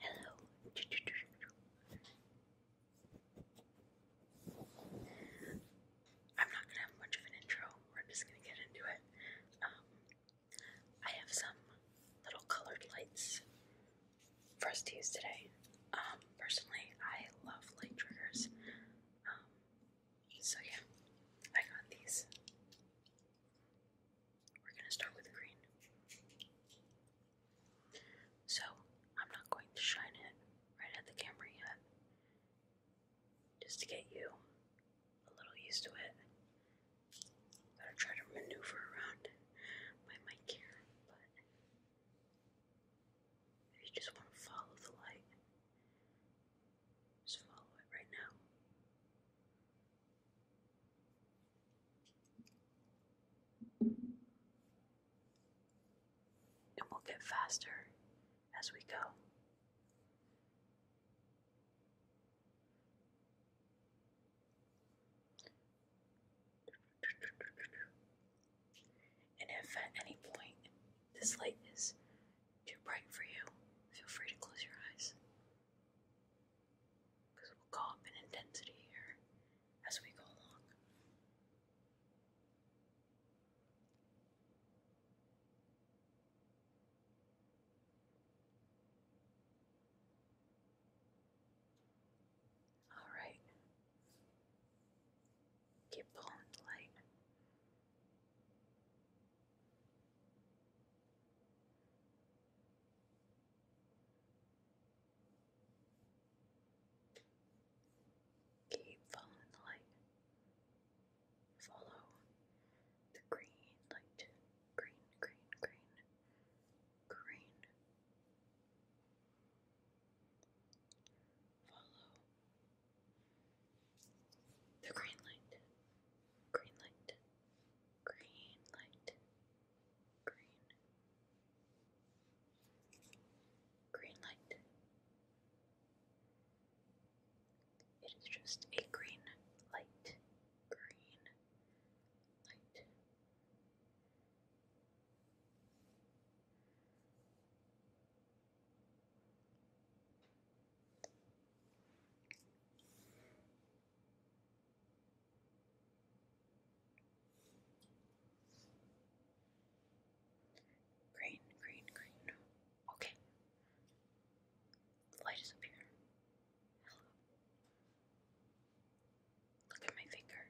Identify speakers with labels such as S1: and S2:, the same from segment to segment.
S1: Hello. I'm not gonna have much of an intro. We're just gonna get into it. Um, I have some little colored lights for us to use today. Um, personally, I love light triggers. Um, so yeah, I got these. We're going to start with green. So, I'm not going to shine it right at the camera yet, just to get you a little used to it. Gotta try to maneuver around my mic here, but if you just want to follow the light, just follow it right now. And we'll get faster as we go. And if at any point this light is too bright for you, feel free to close your eyes. Because it will go up in intensity here as we go along. All right. Keep pulling the light. Keep following the light. Follow the green light. Green, green, green, green. Follow the green light. Green light green light, green, green light. It is just a green light, green light. Green, green, green. Okay. light is up here. Hello. Look at my finger.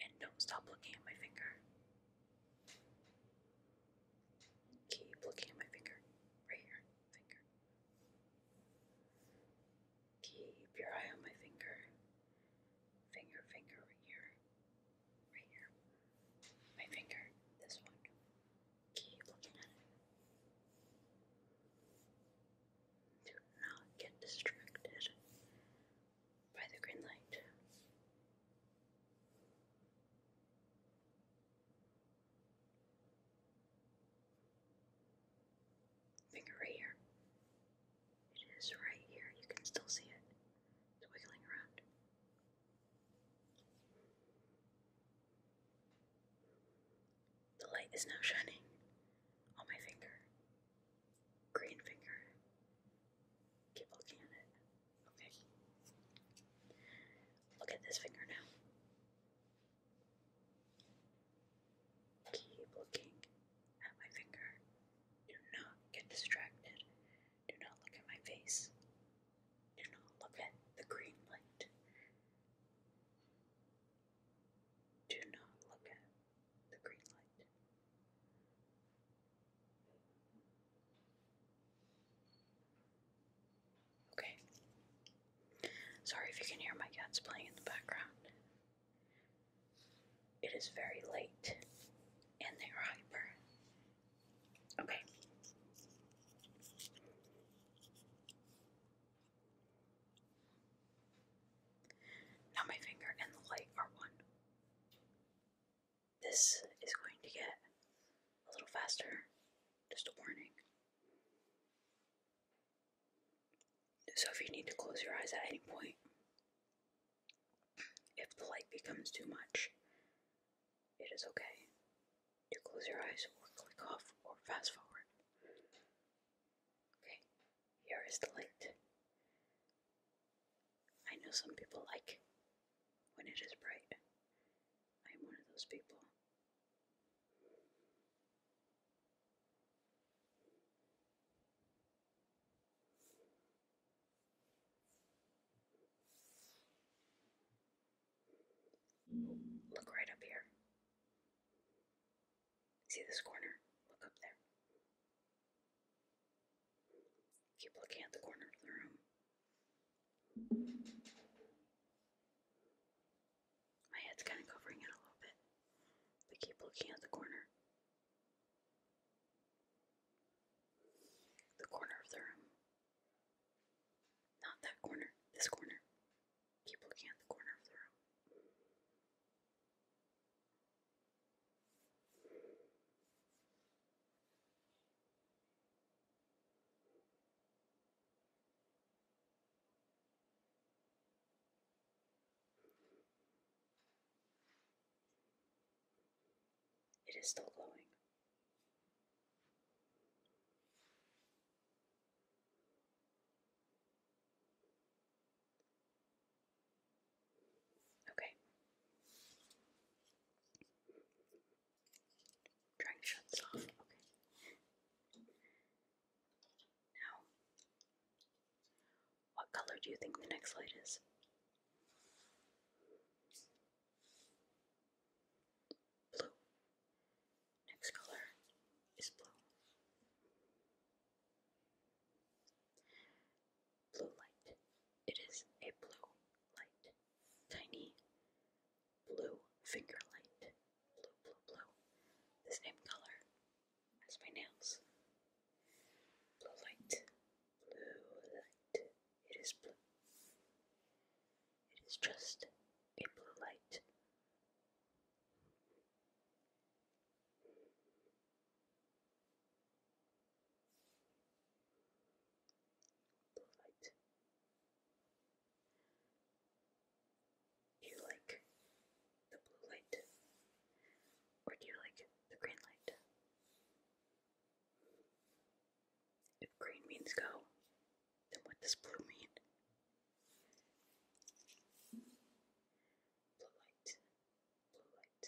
S1: And don't stop looking at my finger. Keep looking at my finger. Right here. Finger. Keep your eye on my finger. Finger, finger, right here. Right here. My finger. This one. Keep looking at it. Do not get distracted by the green light. Finger right here. It is right here. You can still see it. It's wiggling around. The light is now shining on my finger. Green finger. Keep looking at it. Okay. Look at this finger now. Keep looking at my finger. Do not get distracted. Do not look at my face. Do not look at the green light. Do not look at the green light. Okay. Sorry if you can hear my cats playing in the background. It is very late and they are hyper. Okay. Now my finger and the light are one. This is going to get a little faster, just a warning. So, if you need to close your eyes at any point, if the light becomes too much, it is okay to close your eyes or click off or fast forward. Okay, here is the light. I know some people like when it is bright. I'm one of those people. Look right up here. See this corner? Look up there. Keep looking at the corner of the room. My head's kind of covering it a little bit, but keep looking at the corner. The corner of the room. Not that corner, this corner. Keep looking at the corner of the room. It is still glowing. Okay. Trying to shut off. Okay. Now, what color do you think the next light is? Blue. Next color is blue. Blue light. It is a blue light tiny blue finger light. Blue, blue, blue. The same color as my nails. Blue light. Blue light. It is blue. It is just a blue light. Blue light. Do you like the blue light? Or do you like the green light? If green means go, then what does blue mean? Blue light, blue light.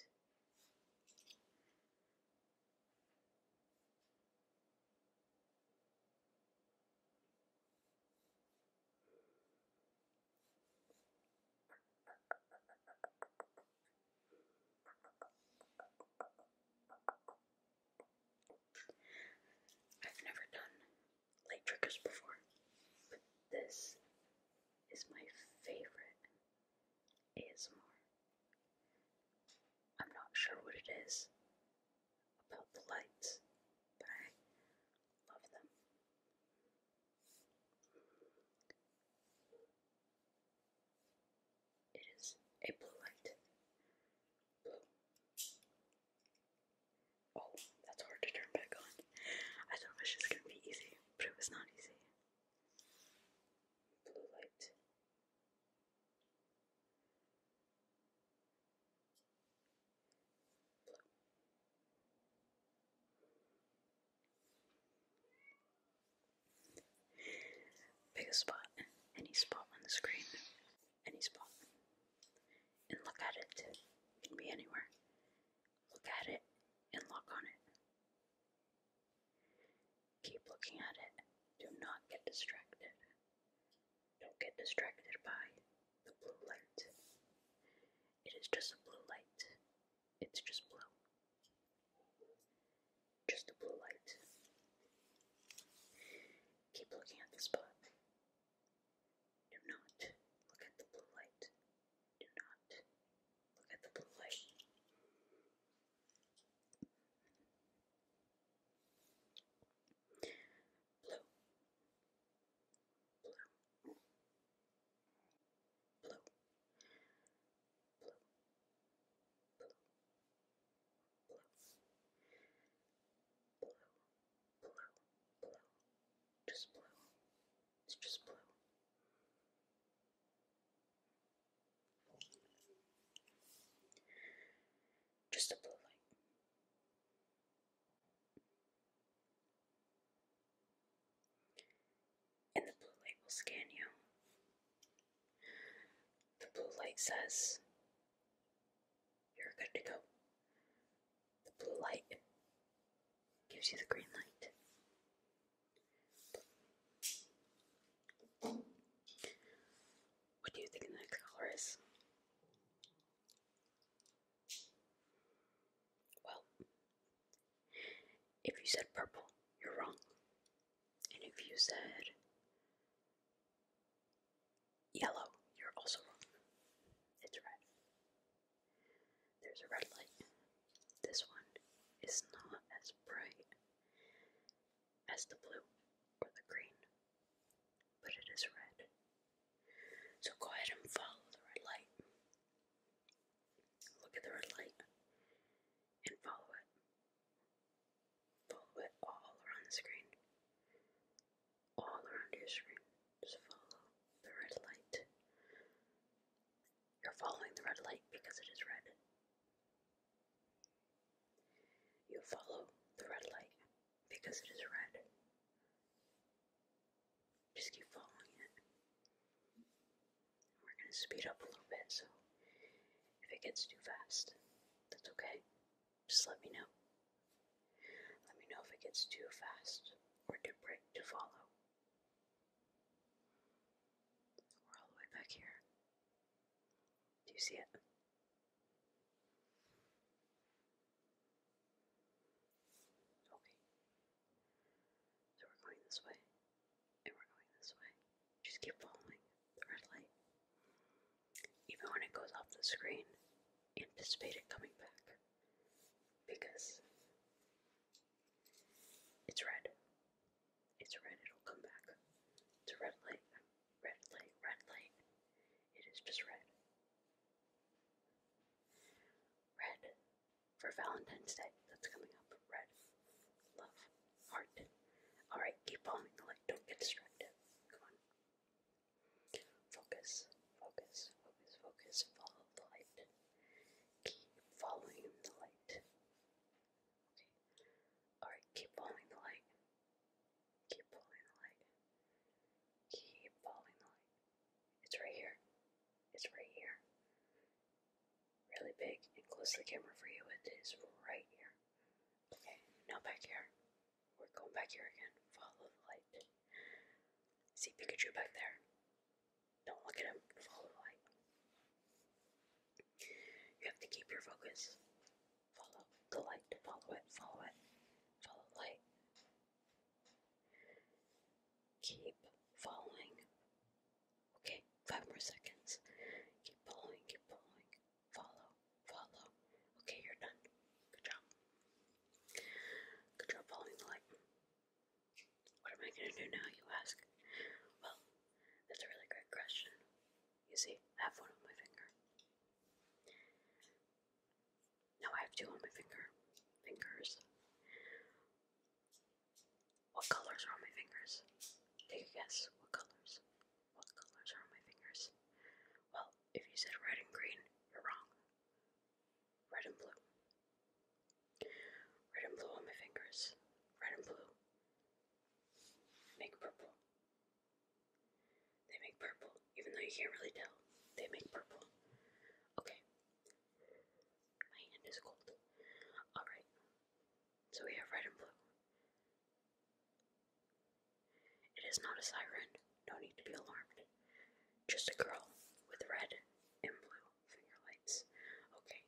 S1: I've never done light triggers before, this is my favorite is more. I'm not sure what it is about the lights, but I love them. It is a blue light. Blue. Oh, that's hard to turn back on. I thought it was just gonna be easy, but it was not easy. Blue light. Blue. Pick a spot, any spot on the screen, any spot, and look at It can be anywhere. Look at it and lock on it. Keep looking at it. Do not get distracted. Don't get distracted by the blue light. It is just a blue light. It's just blue. Just a blue light. Keep looking at the spot. Do not look at the blue light. Do not look at the blue light. Blue. Blue. Blue. Blue. Blue. Blue. Blue. Blue. Blue. Just blue. It's just blue. Just a blue light. And the blue light will scan you. The blue light says you're good to go. The blue light gives you the green light. What do you think the next color is? Well, if you said purple, you're wrong. And if you said yellow, you're also wrong. It's red. There's a red light this one is not as bright as the blue or the green, but it is red. So go ahead and follow the red light. Look at the red light and follow it. Follow it all around the screen. All around your screen. Just follow the red light. You're following the red light because it is red. You follow the red light because it is red. Just keep following it. We're going to speed up a little bit, so if it gets too fast, that's okay. Just let me know. Let me know if it gets too fast or too bright to follow. We're all the way back here. Do you see it? Okay. So we're going this way, and we're going this way. Just keep following the red light. Even when it goes off the screen, anticipate it coming back. Because it's red. It's red, it'll come back. It's a red light. Red light, red light. It is just red. Red for Valentine's Day. That's coming up. Red. Love. Heart. Alright, keep bombing the light. Don't get distracted. Come on. Focus. Focus. Focus. Focus. Follow the light. Keep following the light. Okay. Alright, keep following the light. Keep following the light. Keep following the light. It's right here. It's right here. Really big and close the camera for you. It is right here. Okay, now back here. We're going back here again. Follow the light. See Pikachu back there? Don't look at him. Follow the light. You have to keep your focus. Follow the light. Follow it. Follow it. Follow the light. Keep following. Okay, five more seconds. Keep following. Keep following. Follow. Follow. Okay, you're done. Good job. Good job following the light. What am I gonna do now, you ask? Well, that's a really great question. You see, I have one on my finger. No, I have two on my finger. Fingers. What colors are on my fingers? Take a guess. What colors? What colors are on my fingers? Well, if you said red and green, you're wrong. Red and blue. Red and blue on my fingers. Red and blue make purple. They make purple, even though you can't really tell. They make purple. Okay. My hand is cold. Alright. So we have red and blue. It is not a siren. No need to be alarmed. Just a girl with red and blue finger lights. Okay.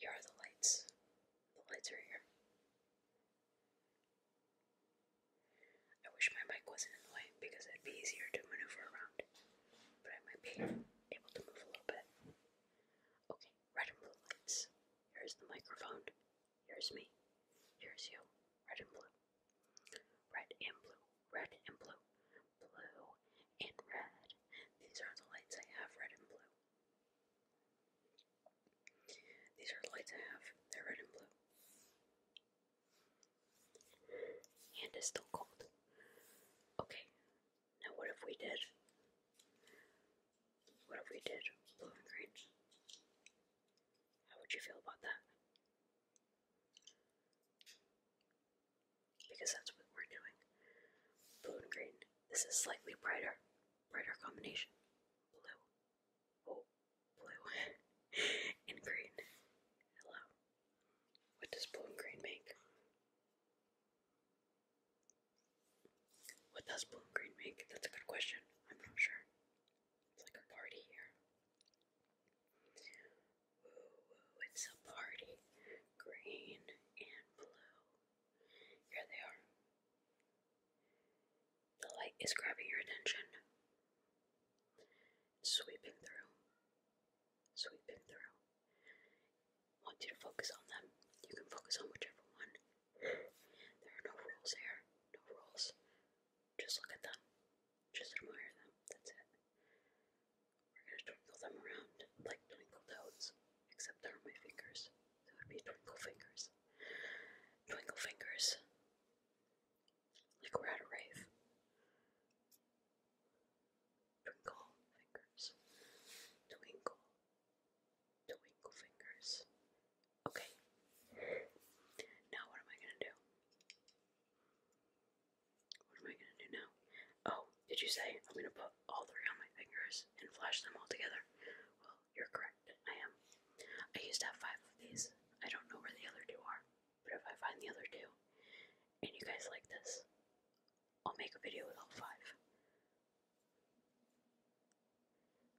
S1: Here are the lights. The lights are here. I wish my mic wasn't in the way because it'd be easier to maneuver around, but I might be able to move a little bit. Okay, red and blue lights. Here's the microphone. Here's me. Here's you. Red and blue. Red and blue, red and blue, blue and red. These are the lights I have, red and blue. These are the lights I have, they're red and blue. And it's still cold. Okay, now what if we did? What if we did blue and green? How would you feel about that? Because that's what we're doing. Blue and green. This is slightly brighter. Brighter combination. Blue. Oh, blue. and green. Hello. What does blue and green make? What does blue and green make? That's a good question. I'm not sure. It's like a party here. Ooh, ooh, it's a party. Green and blue. Here they are. The light is grabbing your attention. Sweeping through. Sweeping through. want you to focus on them. You can focus on whichever one. There are no rules here. No rules. Just look at them. Just admire them. That's it. We're gonna twinkle them around like twinkle toads, except they're my fingers. That would be twinkle fingers. Twinkle fingers. Like we're at a rave. Twinkle fingers. Twinkle. Twinkle fingers. Okay. Now what am I gonna do? What am I gonna do now? Oh, did you say I'm gonna put all three on my fingers and flash them all together? Well, you're correct. I am. I used to have five of these. I don't know where the other two are, but if I find the other two, and you guys like this, I'll make a video with all five.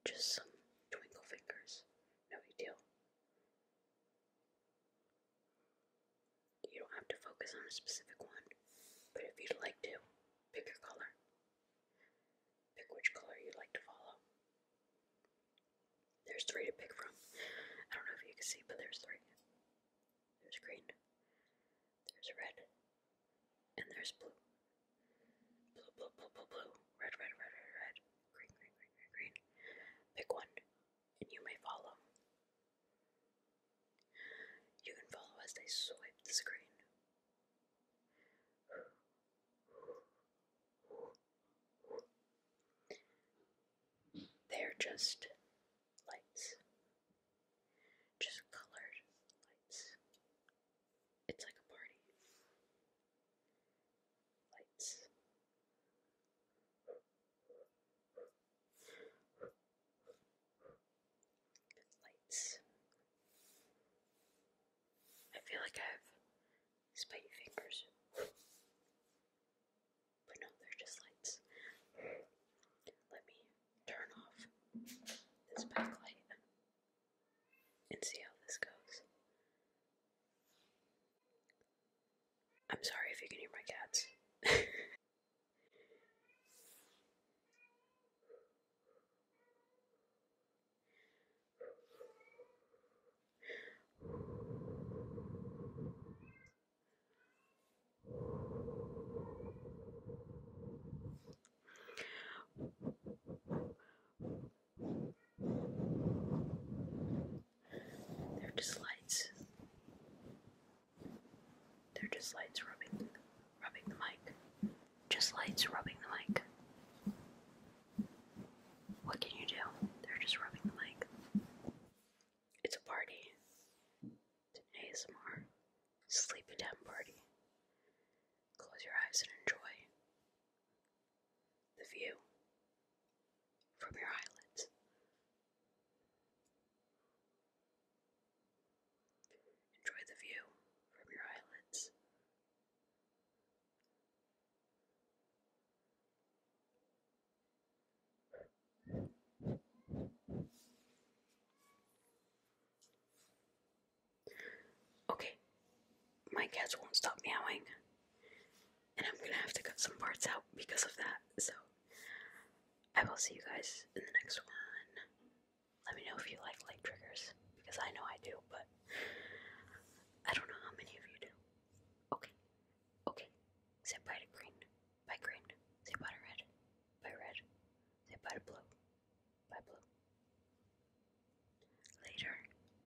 S1: Just some twinkle fingers. No big deal. You don't have to focus on a specific one, but if you'd like to, pick your color. Pick which color you'd like to follow. There's three to pick from. I don't know if you can see, but there's three. There's green, there's red, and there's blue. Blue, blue, blue, blue, blue. Red, red, red, red, red. Green, green, green, green, green. Pick one, and you may follow. You can follow as they swipe the screen. They're just lights. Just colored lights. It's like a party lights. Lights. I feel like I have spidey fingers. But no, they're just lights. Let me turn off this backlight and see how this goes. I'm sorry if you can hear my cats. They're just lights. They're just lights rubbing rubbing the mic. Just lights rubbing the mic. What can you do? They're just rubbing the mic. It's a party. It's an ASMR sleepy time party. Close your eyes and enjoy the view from your eyelids. Enjoy the view from your eyelids. Okay, my cats won't stop meowing and I'm gonna have to cut some parts out because of that. So, I will see you guys in the next one. Let me know if you like light triggers because I know I do, but I don't know how many of you do. Okay, okay. Say bye to green, bye green. Say bye to red, bye red. Say bye to blue, bye blue. Later,